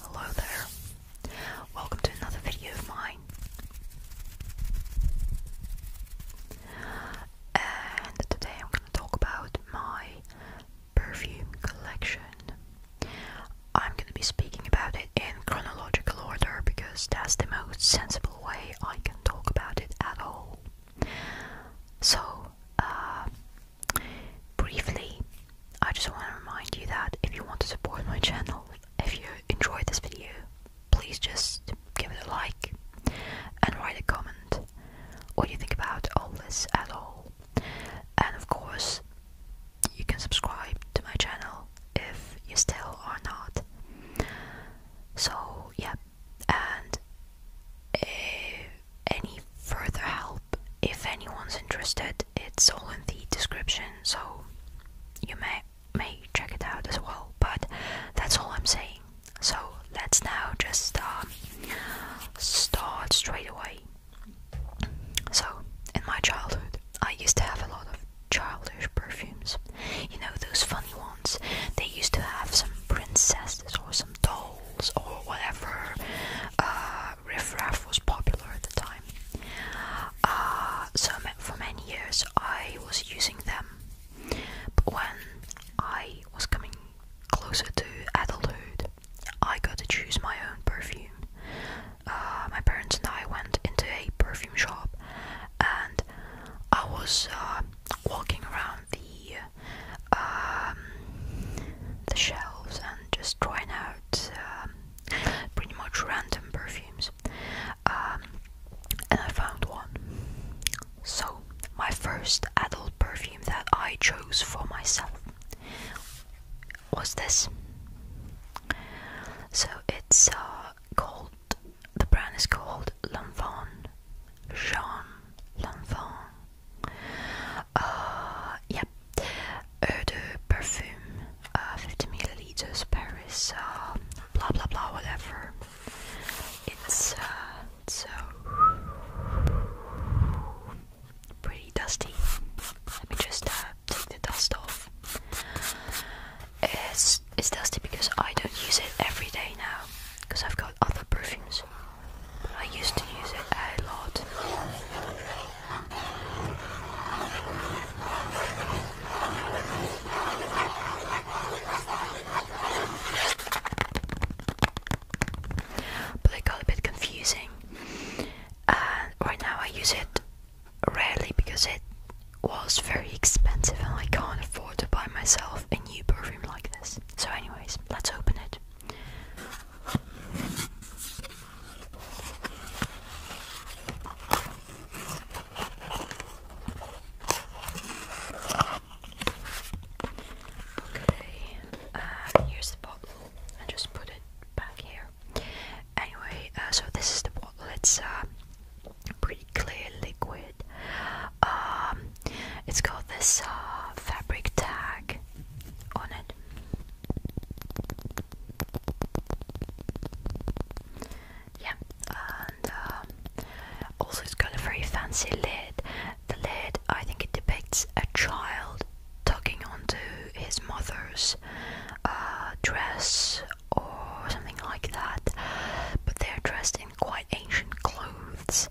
Hello there. Welcome to another video of mine. And today I'm going to talk about my perfume collection. I'm going to be speaking about it in chronological order because that's the most sensible way I can talk about it at all. So, uh, briefly, I just want to remind you that if you want to support my channel, if you enjoyed this video, please just give it a like and write a comment what you think about all this at all. And of course, you can subscribe to my channel if you still are not. So, yeah, and any further help if anyone's interested it's all in the description so you may may check it out as well but that's all i'm saying so let's now just um, start straight away so in my childhood i used to have a lot of childish perfumes you know those funny ones they used to have some princesses or some dolls or whatever uh, riffraff was popular at the time. Uh, so for many years I was using them, but when I was coming closer to adulthood, I got to choose my own perfume. Uh, my parents and I went into a perfume shop, and I was uh, walking around the um, the shelves and just trying out um, pretty much random perfumes. Um, and I found one. So, my first adult perfume that I chose for myself was this. So, it's uh, called, the brand is called L'Enfant, Jean L'Enfant. Uh, yep, Eau de Parfum, uh, 50 milliliters, Paris, uh, blah blah blah, whatever. It's, uh, pretty dusty. Let me just uh, take the dust off. It's, it's dusty because I don't use it every day now because I've got other perfumes. I used to use it a lot. But it got a bit confusing, and right now I use it rarely because it was very expensive and I can't afford to buy myself a new perfume like this. So, anyways, let's open it. Okay, uh, here's the bottle. I just put it back here. Anyway, uh, so this is the bottle. It's a uh, pretty clear liquid it. has um, got this uh, fabric tag on it. Yeah, and um, also it's got a very fancy lid. The lid, I think, it depicts a child tugging onto his mother's uh, dress or something like that. But they're dressed in quite ancient clothes,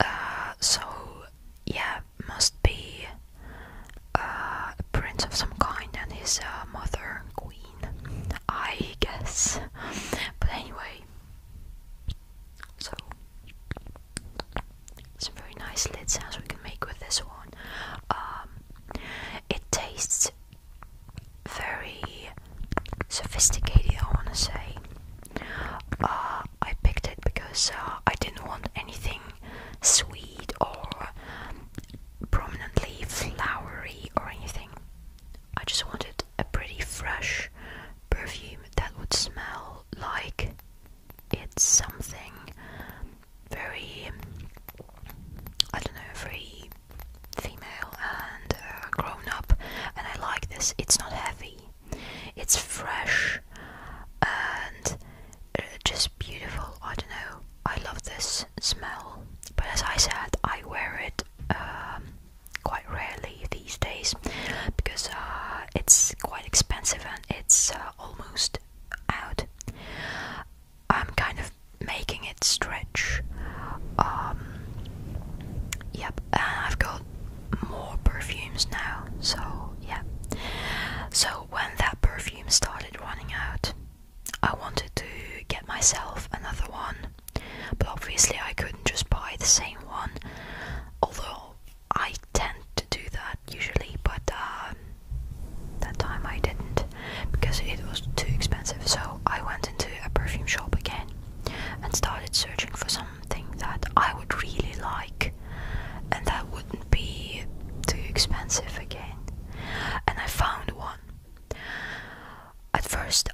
uh, so yeah, must be uh, a prince of some kind and his uh, mother queen, I guess. But anyway, so some very nice lid sounds we can make with this one. Um, it tastes very sophisticated, I wanna say. Uh, I picked it because uh, I didn't want anything sweet or prominently flowery or anything. I just wanted a pretty fresh perfume that would smell like it's something very, I don't know, very female and uh, grown up. And I like this, it's not heavy. It's fresh and uh, just beautiful. I don't know. I love this smell. But as I said, I wear it um, quite rarely these days because uh, it's quite expensive and it's uh, almost out. I'm kind of making it stretch. Um, yep, I've got more perfumes now, so yeah. So when that perfume started running out, I wanted to get myself another one, but obviously I couldn't just buy the same one, although I tend to do that usually, but um, that time I didn't because it was too expensive. So I went into a perfume shop again and started searching for some something that I would really like and that wouldn't be too expensive again. And I found one. At first,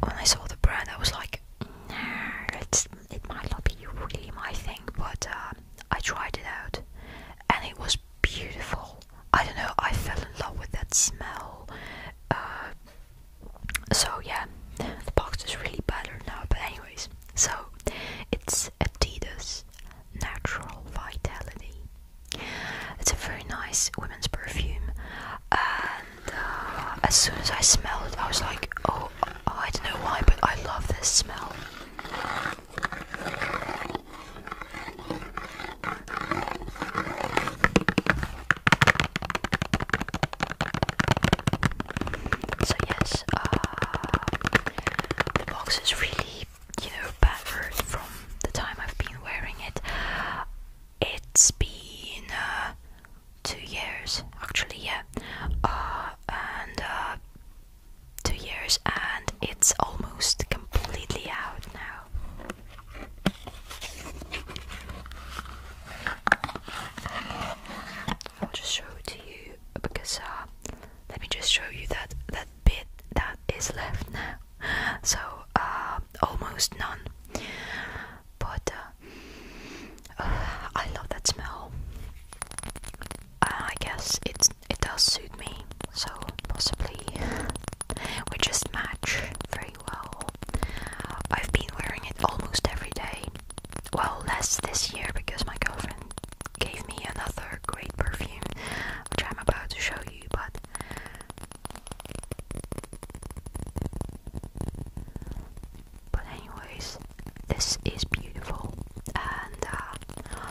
when I saw the brand, I was like, "No, it's, it might not be really my thing, but uh, I tried it out and it was beautiful. I don't know, I fell in love with that smell. Uh, so yeah, the box is really battered now, but anyways, so it's Adidas Natural Vitality. It's a very nice women's perfume, and uh, as soon as I smelled it, I was like, oh, I don't know why, but I love this smell. So yes, uh, the box is really, you know, battered from the time I've been wearing it. It's been uh, two years, actually, yeah, uh, and two years, and it's almost completely out now. I'll just show it to you because uh, let me just show you that that bit that is left now. So uh, almost none. But uh, uh I love that smell. Uh, I guess it it does suit me. So possibly we just match very well. I've been wearing it almost every day. Well, less this year because my girlfriend gave me another great perfume, which I'm about to show you, but but anyways, this is beautiful and uh,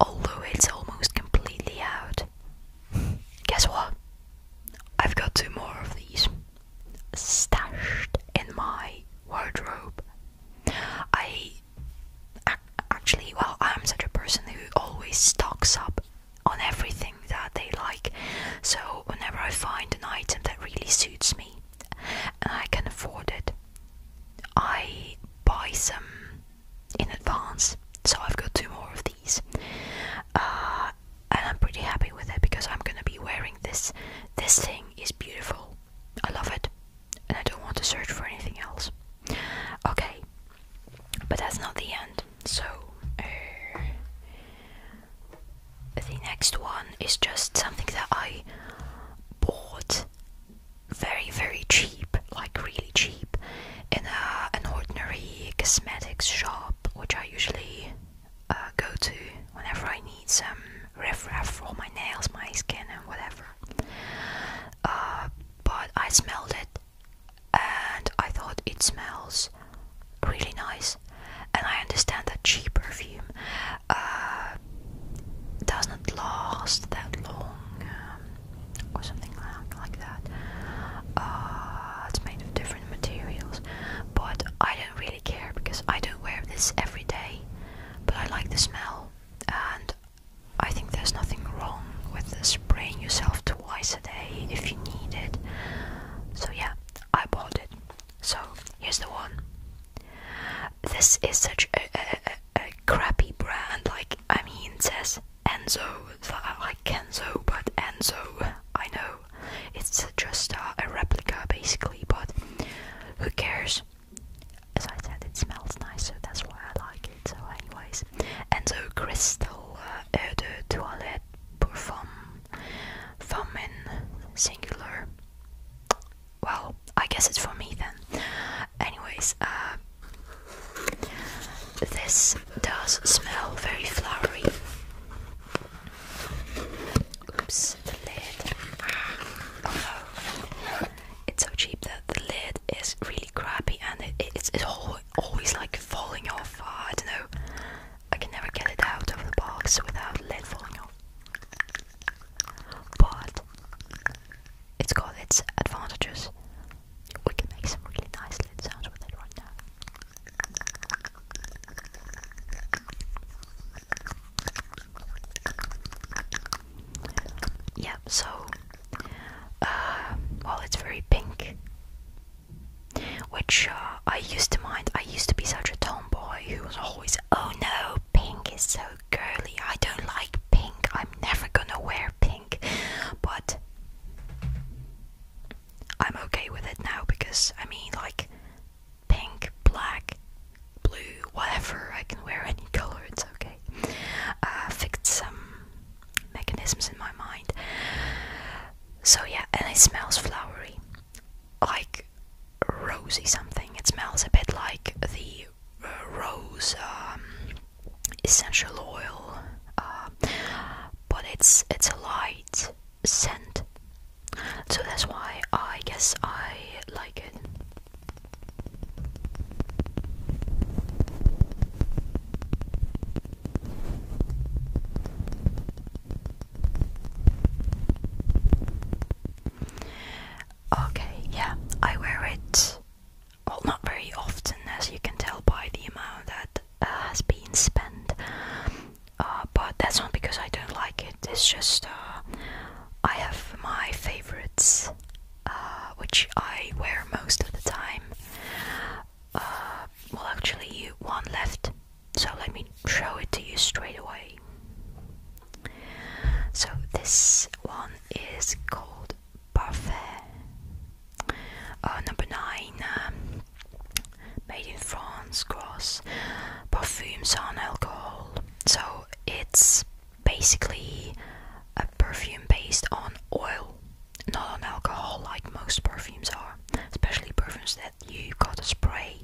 although it's almost completely out, guess what? I've got two more of these stashed in my wardrobe. I actually, well, I'm such a person who always stocks up on everything that they like. So whenever I find an item that really suits me and I can afford it, I buy some in advance. So I've got two more of these. Uh, and I'm pretty happy with it because I'm gonna be wearing this this thing is beautiful I love it and I don't want to search for anything else okay but that's not the end so uh, the next one is just something that I bought very very cheap like really cheap in an ordinary cosmetics shop which I usually uh, go to whenever I need some riffraff for my nails, my skin, and whatever. Uh, but I smelled it and I thought it smells really nice. And I understand that cheap perfume uh, doesn't last that long um, or something like that. it's made of different materials, but I don't really care because I don't wear this every day. But I like the smell, and I think there's nothing wrong with spraying yourself twice a day if you need it. So, yeah, I bought it. So, here's the one. This is such a, crappy brand, like, I mean, it says Enzo, like Kenzo, but Enzo, I know it's just a replica basically, but who cares? As I said, it smells nice, so that's why I like it. So, anyways, and the crystal uh, eau de toilette pour in singular. Well, I guess it's for me then. Anyways, uh, this does smell very flowery. Oops, the lid. It's so cheap that the lid is really crappy and it's, always like falling off. Ah, I don't know. I can never get it out of the box without lid falling off. But it's got its advantages. We can make some really nice lid sounds with it right now. Yeah, so uh, well, it's very pink, which uh, I used to mind. I used to be such a tomboy who was always, oh no, pink is so girly. I don't like pink. I'm never gonna wear pink. But I'm okay with it now because I mean, like, pink, black, blue, whatever, I can wear any color, it's okay. Uh, fixed some mechanisms in my mind. So, yeah, and it smells flowery, like rosy something. It smells a bit like the uh, rose um, essential oil, uh, but it's it's a light scent. So that's why I guess I like it. Okay, yeah, I wear it well, not very often, as you can tell by the amount that uh, has been spent, uh, but that's not because I don't like it. It's just uh, I have my favorites, which I wear most of the time. well, actually, one left, so let me show it to you straight away. So this one is called Buffet. Uh, number nine, um, made in France, cross perfumes on alcohol. So it's basically a perfume based on oil, not on alcohol, like most perfumes are, especially perfumes that you gotta spray.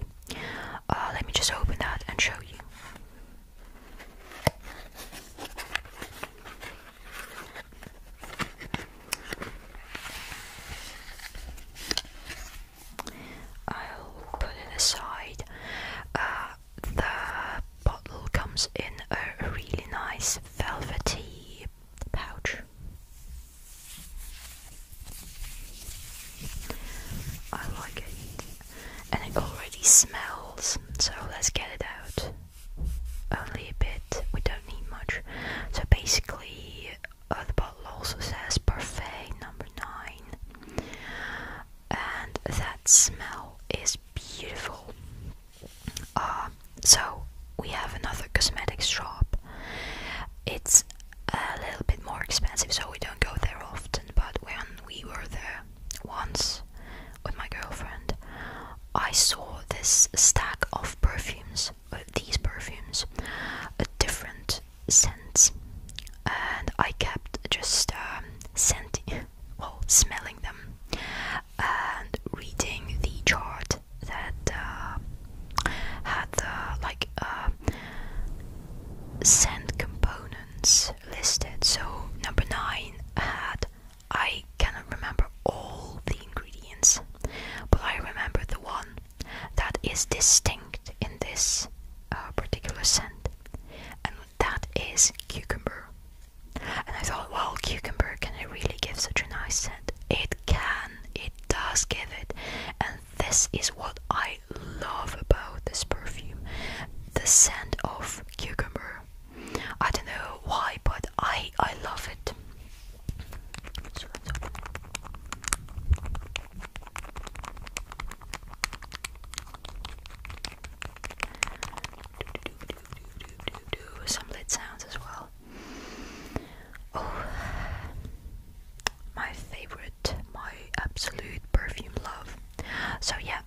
Uh, let me just open that and show you. I'll put it aside. Uh, the bottle comes in a really nice velvety pouch. I like it, and it already smells, so let's get it out. Only a bit, we don't need much. So basically, the bottle also says Parfait number 9, and that smell is beautiful. Uh, so, we have another cosmetics shop. It's a little bit more expensive, so we don't go there often, but when we were there once with my girlfriend, I saw this stack of perfumes uh, these perfumes a different scents, and I kept just um, scenting, well, smelling them, and reading the chart that uh, had like uh, scent components listed. So number nine had I cannot remember all the ingredients but I remember the one that is distinct in this uh, particular scent, and that is cucumber. And I thought, well, cucumber can it really give such a nice scent? It can, it does give it, and this is what I love about this perfume the scent of cucumber. I don't know why, but I, I love it. So Some lit sounds as well. Oh, my favorite, my absolute perfume love. So yeah,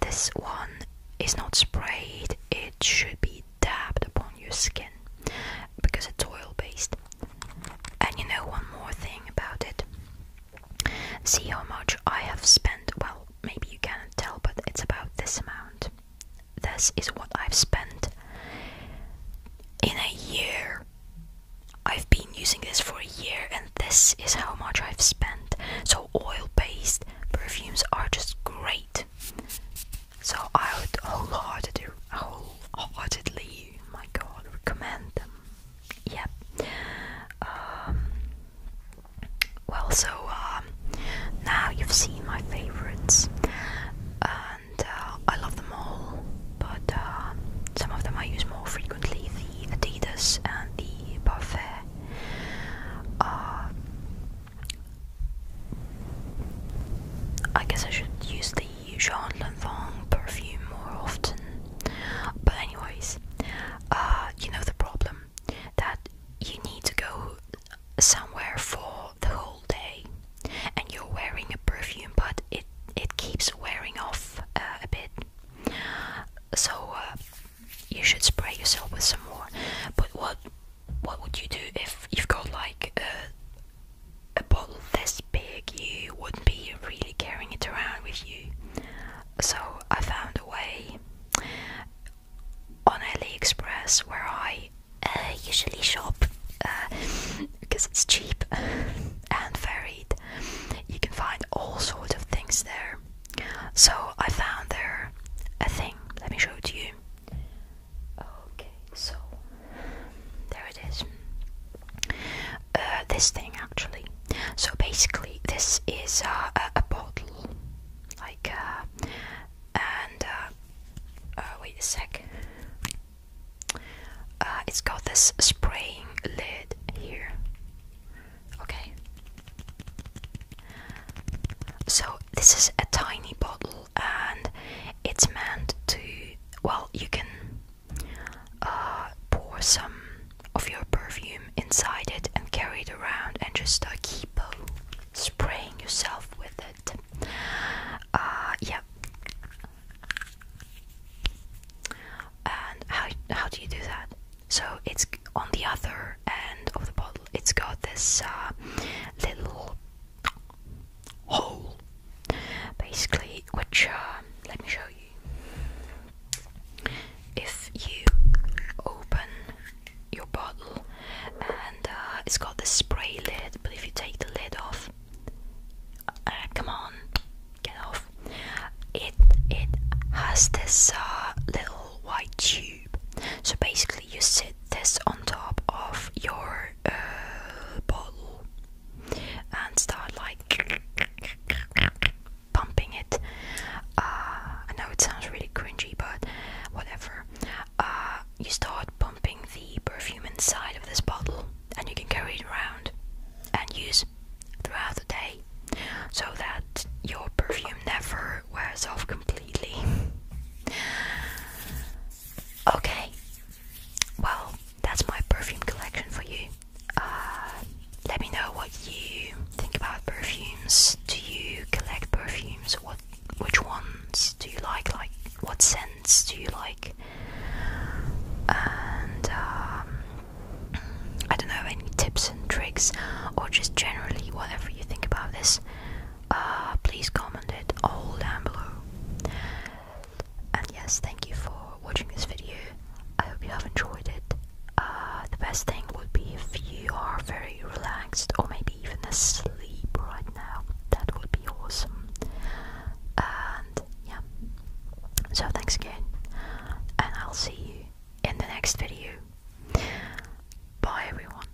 this one is not sprayed. It should be dabbed upon your skin because it's oil based. And you know, one more thing about it see how much I have spent. Well, maybe you can't tell, but it's about this amount. This is what I've spent in a year. I've been using this for a year, and this is how much I've spent. So, oil based perfumes are just great. So I would wholeheartedly, wholeheartedly, my God, recommend them. Yep. Um, well, so um, now you've seen my favorites, and uh, I love them all. But um, some of them I use more frequently: the Adidas and the Buffet. Uh, I guess I should use the Jean Lanvin perfume more often. But anyways, uh, you know the problem that you need to go somewhere for the whole day, and you're wearing a perfume, but it it keeps wearing off uh, a bit. So uh, you should spray yourself with some more. But what what would you do if you've got like a a bottle this big, you wouldn't be really carrying it around with you. So I found a way on AliExpress where I uh, usually shop because uh, it's cheap and varied. You can find all sorts of things there. So I found there a thing. Let me show it to you. Okay, so there it is. Uh, this thing actually. So basically, this is uh, a, bottle, like, uh, and wait a sec. it's got this spraying lid here. Okay. So this is a tiny bottle and it's meant to well you can uh, pour some of your perfume inside it and carry it around and just uh, keep uh, spraying yourself with it yeah and how, how do you do that so it's on the other end of the bottle it's got this little hole basically which uh, let me show you if you open your bottle and uh, it's got the spray lid but if you take the lid off uh, come on get off it it has this uh, little white tube so basically you sit this on top of your uh, bottle and start like pumping it. Uh, I know it sounds really cringy, but whatever. Uh, you start pumping the perfume inside of this bottle, and you can carry it around and use throughout the day so that your perfume never wears off completely. Okay. Well, that's my perfume collection for you. Uh, let me know what you think about perfumes. Do you collect perfumes? What, which ones do you like? Like, what scents do you like? And um, I don't know any tips and tricks, or just generally whatever you think about this. Uh, please comment it all down below. And yes, thank you for watching this video. I hope you have enjoyed it. Uh, the best thing would be if you are very relaxed or maybe even asleep right now. That would be awesome. And yeah. So thanks again. And I'll see you in the next video. Bye everyone.